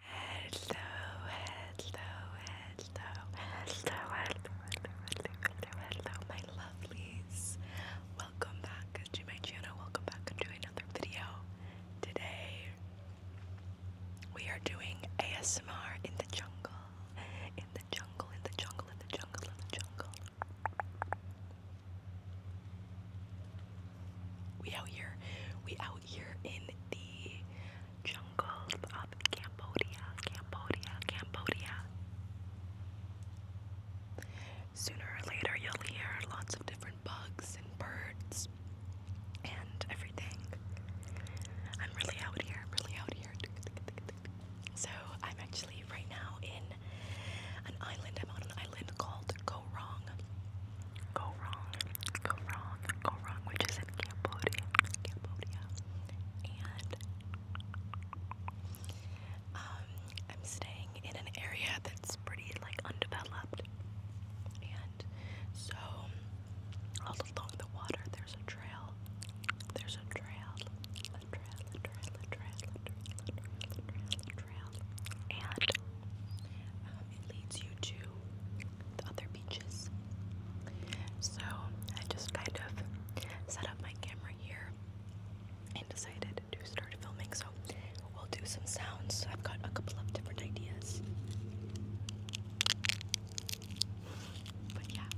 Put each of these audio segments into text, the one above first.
Hello, hello, hello, hello, hello, hello, hello, hello, my lovelies. Welcome back to my channel. Welcome back to another video. Today, we are doing ASMR in the jungle. In the jungle, in the jungle, in the jungle, in the jungle. We out here. We out here in the jungles of Cambodia, Cambodia, Cambodia. Sooner or later, you'll hear lots of different bugs and birds and everything. I'm really out here, really out here. So, I'm actually right now in an island. I'm on an island called Koh go wrong, go wrong, go wrong, go wrong, which is in Cambodia, Cambodia, and um, I'm staying in an area that's pretty like undeveloped, and so along the water there's a trail, there's a trail, trail, trail, trail, trail, trail, and um, it leads you to the other beaches. So I just kind of set up my camera here and decided to start filming. So we'll do some sounds. I've got a couple of different ideas. But yeah.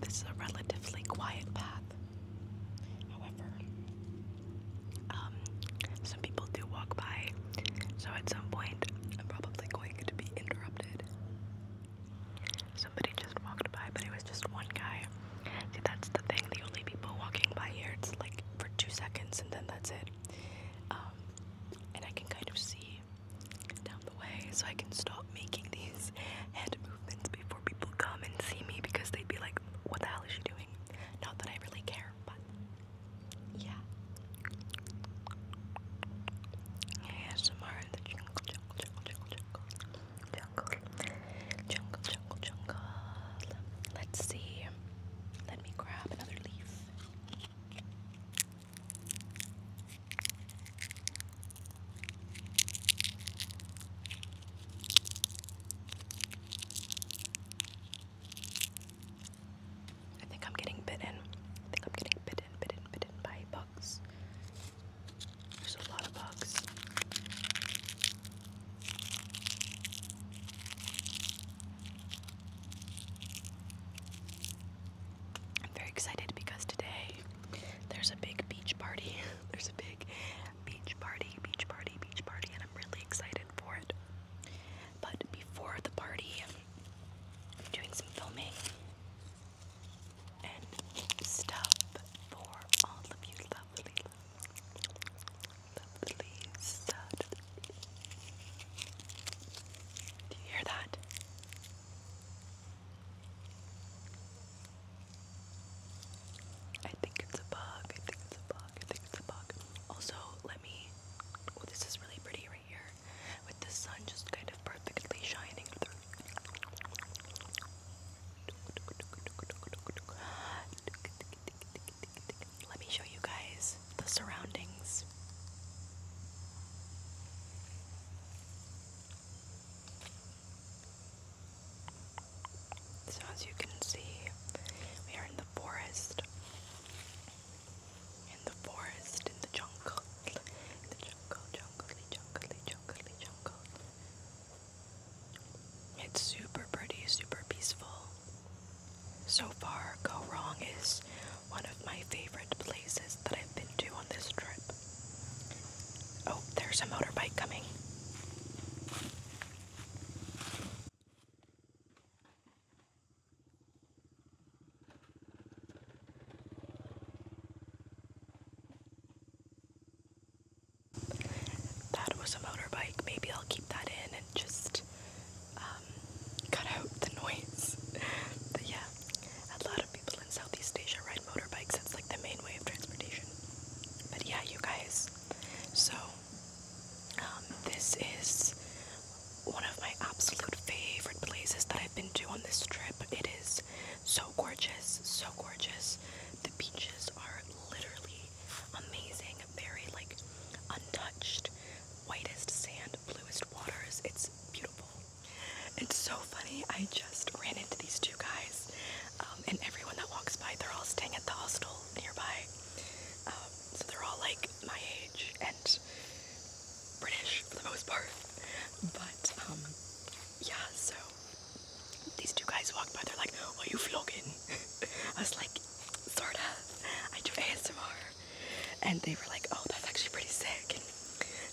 This is a relatively quiet path. However, um, some people do walk by, so at some point I'm probably going to be interrupted. Somebody just walked by, but it was just one guy. See, that's the thing. The only people walking by here, it's like for two seconds and then that's it. Um, and I can kind of see down the way, so I can stop making these hand movements before people come and see me because they'd be like, what the hell is she doing? Not that I really care yeah. ASMR in the jungle, jungle, jungle, jungle, jungle, jungle, jungle, jungle. Let's see. Let me grab another leaf. I think I'm getting bitten. I think I'm getting bitten, bitten, bitten by bugs. There's a lot of bugs. I'm very excited because today there's a big beach party. there's a big beach party, beach party, beach party, and I'm really excited for it. But before the party, i doing some filming and stuff Do you hear that? I think it's a bug. I think it's a bug. Also, let me. this is really pretty right here, with the sun just kind of perfectly shining through. Let me show you guys the surroundings. So, as you can see, we are in the forest. In the forest, in the jungle. the jungle, jungle, jungle, jungle, jungle. It's super pretty, super peaceful. So far, Go Wrong is one of my favorite places that I've been to on this trip. Oh, there's a motorbike coming. That was a motorbike. Maybe I'll keep that in and just um, cut out the noise. but yeah, a lot of people in Southeast Asia ride motorbikes. It's like the main way of transportation. But yeah, you guys. So um, this is one of my absolute favorite places that I've been to on this trip. It is so gorgeous, so gorgeous. The beaches are literally amazing, very like untouched, whitest sand, bluest waters. It's beautiful. It's so funny. I just ran into these two guys, um, and everyone that walks by, they're all staying at the hostel nearby. Um, so they're all like my age and British for the most part. But um, yeah, so these two guys walked by, they're like, Are you vlogging? I was like, Sorta. I do ASMR. And they were like, Oh, that's actually pretty sick. And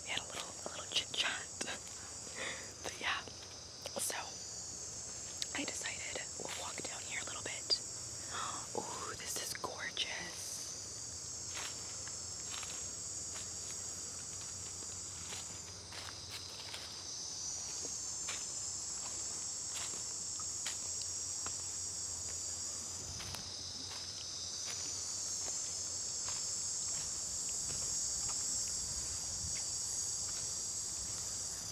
we had a little, little chit chat. But yeah, so I decided We'll walk down here a little bit. Oh, this is gorgeous.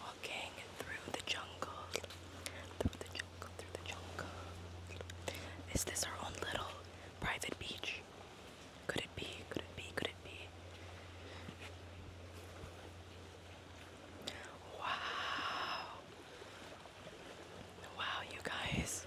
Walking through the jungle, through the jungle, through the jungle. Is this our own little Private beach. Could it be? Could it be? Could it be? Wow. Wow, you guys.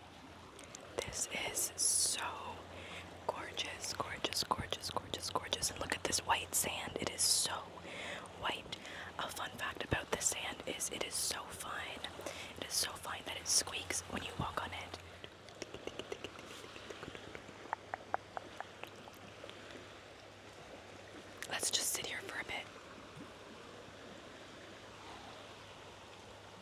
This is so gorgeous, gorgeous, gorgeous, gorgeous, gorgeous. And look at this white sand. It is so white. A fun fact about this sand is it is so fine. It is so fine that it squeaks when you walk on it. Let's just sit here for a bit.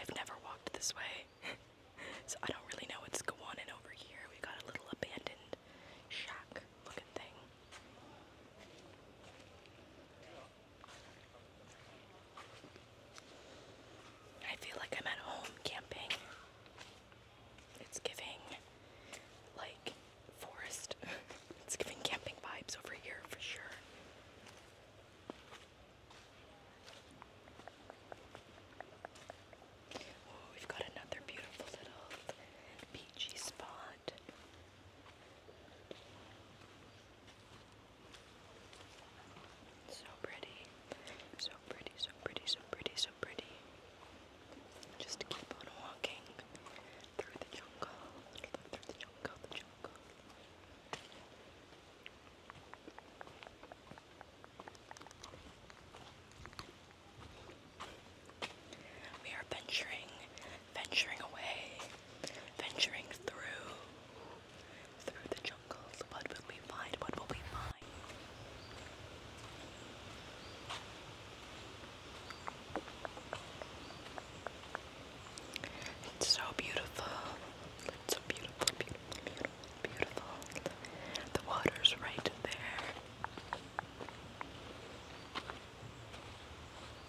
I've never walked this way, so I don't really know what's going on. And over here, we got a little abandoned shack looking thing. I feel like I'm at home camping. It's giving like forest. it's giving camping vibes over here for sure. we've got another beautiful little beachy spot. So pretty. So pretty, so pretty, so pretty, so pretty. Just keep on walking through the jungle, through the jungle, the jungle. We are venturing venturing away, venturing through, through the jungles. What will we find? What will we find? It's so beautiful. It's so beautiful, beautiful, beautiful, beautiful. The water's right there.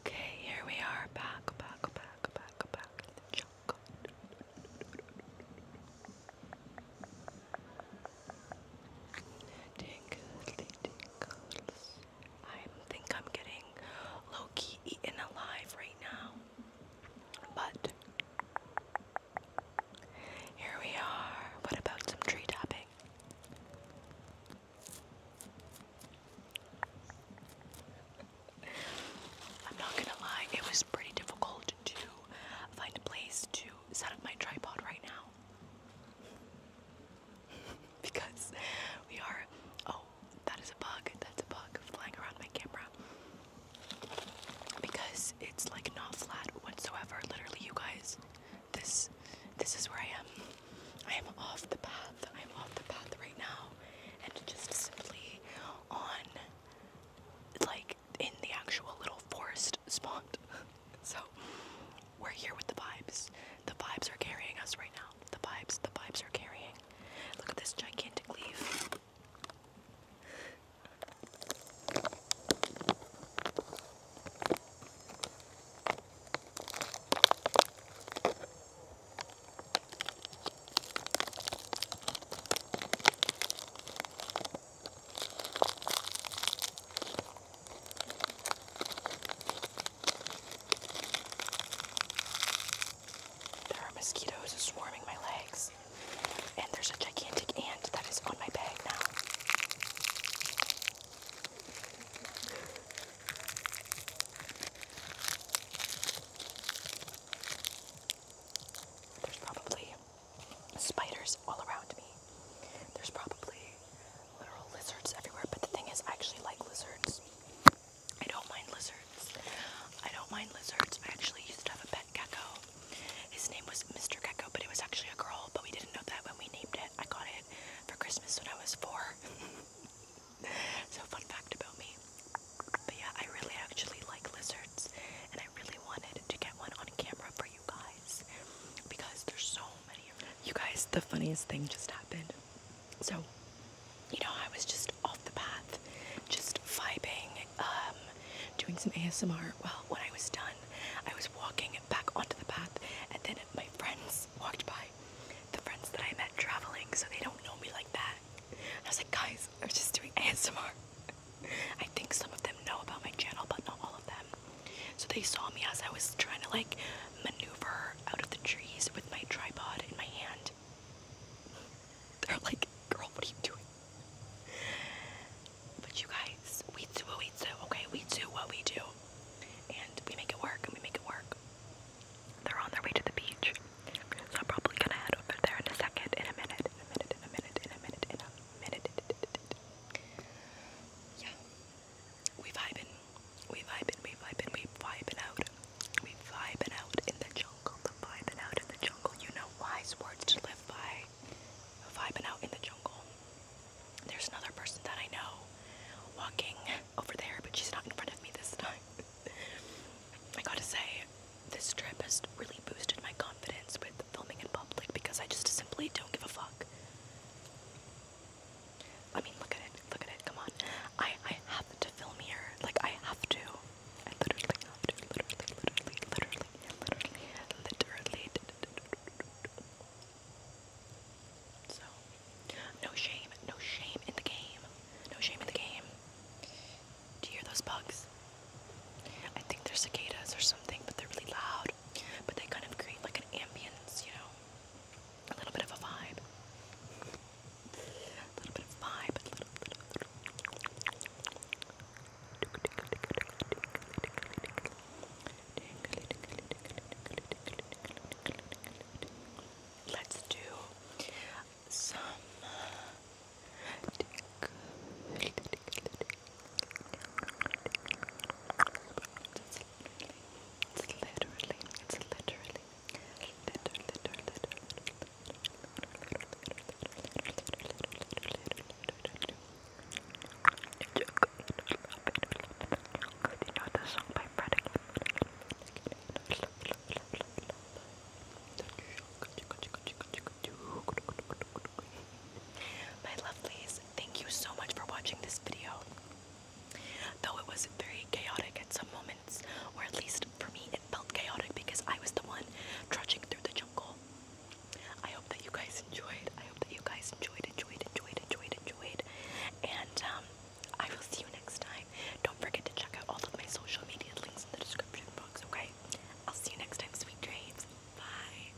Okay, here we are back, back, back, back, back in the jungle. Tingly I think I'm getting low key eaten alive right now. But here we are. What about some tree tapping? I'm not gonna lie, it was pretty difficult to find a place to set up my tripod right now. because we are. Oh, that is a bug. That's a bug flying around my camera. Because it's like not flat whatsoever. Literally, you guys, this this is where I am. I am off the path. I am off the path right now, and just simply on like in the actual little forest spot. So we're here with the vibes. The vibes are carrying us right now. The vibes, the vibes are carrying. Look at this gigantic leaf. There are mosquitoes swarming my legs, and there's a gigantic ant that is on my bag now. There's probably spiders all around me. There's probably literal lizards everywhere, but the thing is, I actually like lizards. I don't mind lizards. I don't mind lizards. I actually used to have a pet gecko. His name was Mr. Gecko, but it was actually a girl, but we didn't know that when we named it. I got it for Christmas when I was four. so, fun fact about me. But yeah, I really actually like lizards, and I really wanted to get one on camera for you guys because there's so many of them. You guys, the funniest thing just happened. So, you know, I was just off the path, just vibing, um, doing some ASMR. Well, when I was done, I was walking back onto the path, and then my friends walked by. The friends that I met traveling, so they don't know me like that. I was like, guys, I was just doing ASMR. I think some of them know about my channel, but not all of them. So they saw me as I was trying to like maneuver out of the trees with my tripod in my hand. They're like, girl, what are you doing? But you guys, we do what we do, okay? We do what we do. And we make it work and we make it work. They're on their way to the beach. So I'm probably gonna head over there in a second, in a minute, in a minute, in a minute, in a minute. In a minute. Yeah, we vibing, we vibing, we vibing, we vibing out, we vibing out in the jungle, the vibing out in the jungle. You know wise words to live by. Vibing out in the jungle. There's another person that I know walking over there, but she's not in front of me this time. I gotta say, this trip has really boosted my confidence with filming in public because I just simply don't give a fuck. I mean, look at it, look at it, come on. I, I have to film here, like, I have to. I literally literally, literally, literally, literally, literally. So, no shame, no shame in the game. No shame in the game. Do you hear those bugs? I think they're cicadas or something, but they're really loud but they kind of create like an ambience, you know, a little bit of a vibe, a little bit of a little, Let's do some. It's literally, it's literally, literally, literally, you know the song by Freddie? My lovelies, Thank you so much for watching this video. Though it was very chaotic at some moments, or at least for me, it felt chaotic because I was the one trudging through the jungle. I hope that you guys enjoyed. I hope that you guys enjoyed, enjoyed, enjoyed, enjoyed, enjoyed. And um, I will see you next time. Don't forget to check out all of my social media links in the description box, okay? I'll see you next time, sweet dreams. Bye.